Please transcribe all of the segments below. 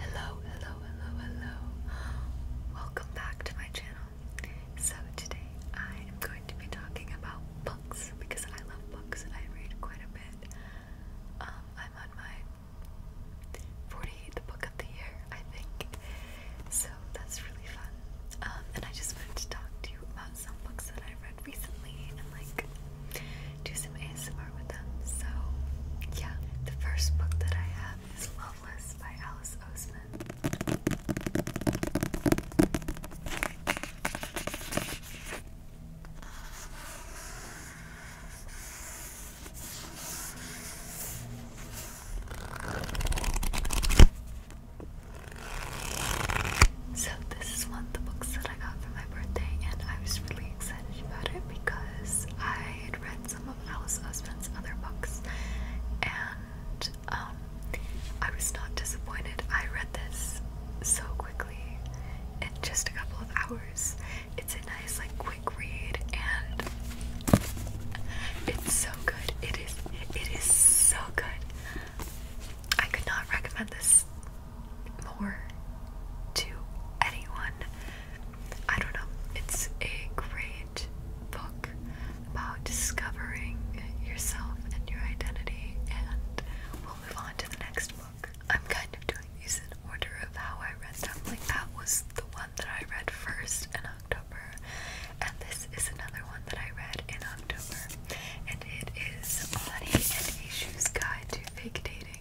Hello, hello, hello, hello. Welcome back to my channel. So today I am going to be talking about books because I love books. I read quite a bit. Um, I'm on my 48th book of the year, I think. So that's really fun. Um, and I just wanted to talk to you about some books that I read recently and like do some ASMR with them. So, yeah. The first book that I have is Loveless by Alice Oseman. So, this is one of the books that I got for my birthday, and I was really excited about it because I had read some of Alice Osman's other books and um, I was not disappointed. I read this so quickly in just a couple of hours. It's a nice, like, quick read and it's so good. It is, it is so good. I could not recommend this more to anyone. I don't know. It's a great book about discovering yourself and your identity, and we'll move on to the next book. I'm kind of doing these in order of how I read them. Like, that was the one that I read first in October, and this is another one that I read in October, and it is Money and Issues Guide to Fake Dating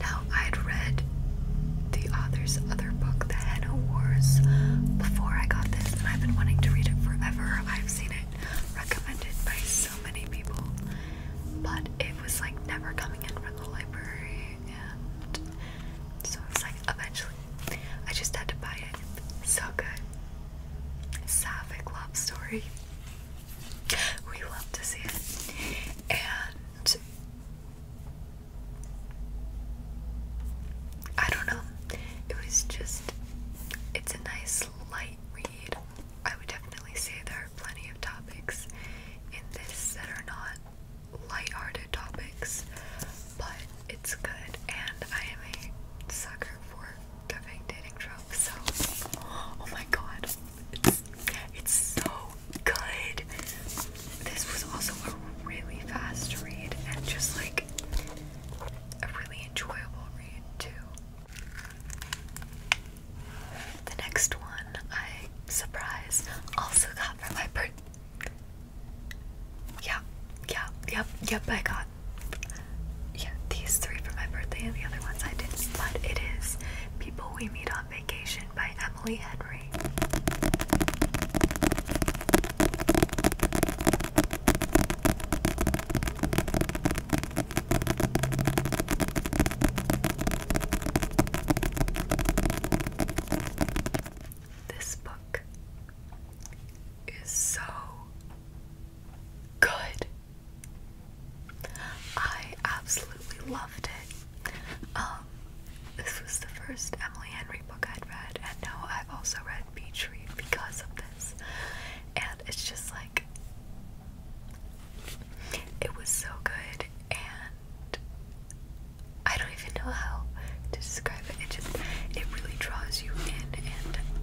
Now, I'd read the author's other book, The Henna Wars, before I got this, and I've been wanting to read it forever. I've seen it recommended by so many people, but it was like never coming in from the library, and so I like, eventually I just had to buy it. So good. Sapphic love story. We love to see it. And I don't know. It was just it's a nice light read. I would definitely say there are plenty of topics in this that are not light-hearted topics, but it's good, and I am a sucker for giving dating tropes. So, oh my god, it's, it's so good. This was also a really fast read and just like a really enjoyable read too. The next one I surprise also got from my birthday. Yeah, yeah, yep, yep, I got yeah, these three for my birthday and the other ones I did but it is People We Meet on Vacation by Emily Henry. This book is so good. I absolutely loved it. Um, this was the first Emily Henry book I'd read, and now I've also read Beach Read because of this. And it's just like, it was so good, and I don't even know how to describe it. It just it really draws you in and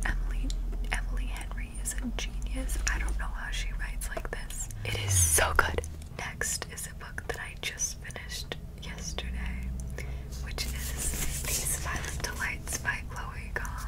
Emily Emily Henry is a genius. I don't know how she writes like this. It is so good. Next is a book that I just finished yesterday, which is These Silent Delights by Chloe Gong.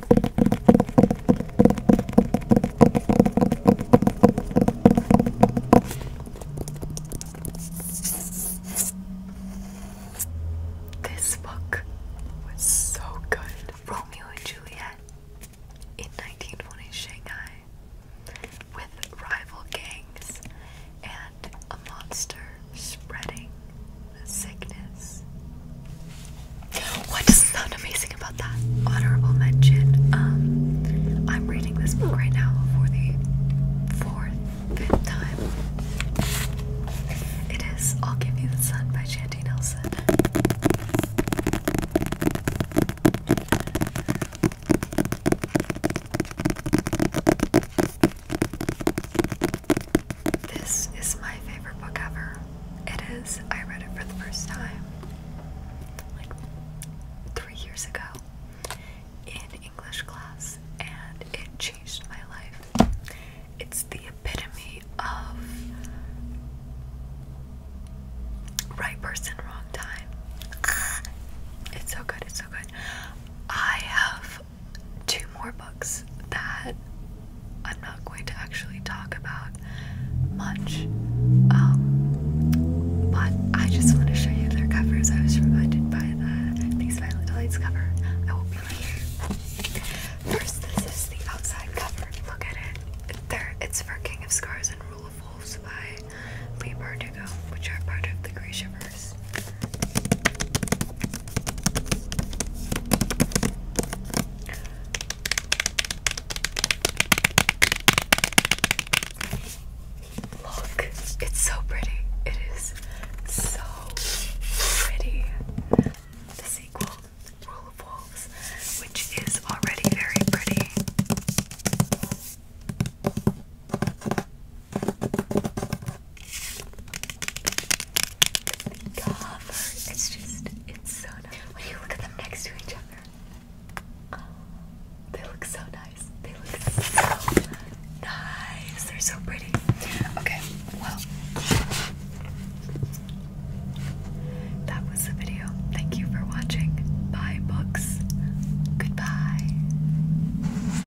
This book was so good. Romeo and Juliet in 1920 Shanghai with rival gangs and a monster spreading sickness. What doesn't sound amazing about that? Honorable mention. Um, I'm reading this book right now for the fourth, time. It is I'll Give You the Sun by Shanty Nelson. This is my favorite book ever. It is. I read it for the first time like three years ago in English class, and it changed my life. It's the epitome of right person, wrong time. It's so good, it's so good. I have two more books that I'm not going to actually talk about much, um, but I just want to show you their covers. I was reminded by the These Violet Delights cover. I will be later. First, this is the outside cover. Look at it. There, it's for King of Scars and Rule of Wolves by Lee Bardugo, which are part of the Grey Shiver Look, it's so pretty. It is so pretty. The sequel, Rule of Wolves, which is already very pretty cover. It's just, it's so nice. When you look at them next to each other, they look so nice. They look so nice. They're so pretty. Okay, well, that was the video. Thank you for watching. Bye, books. Goodbye.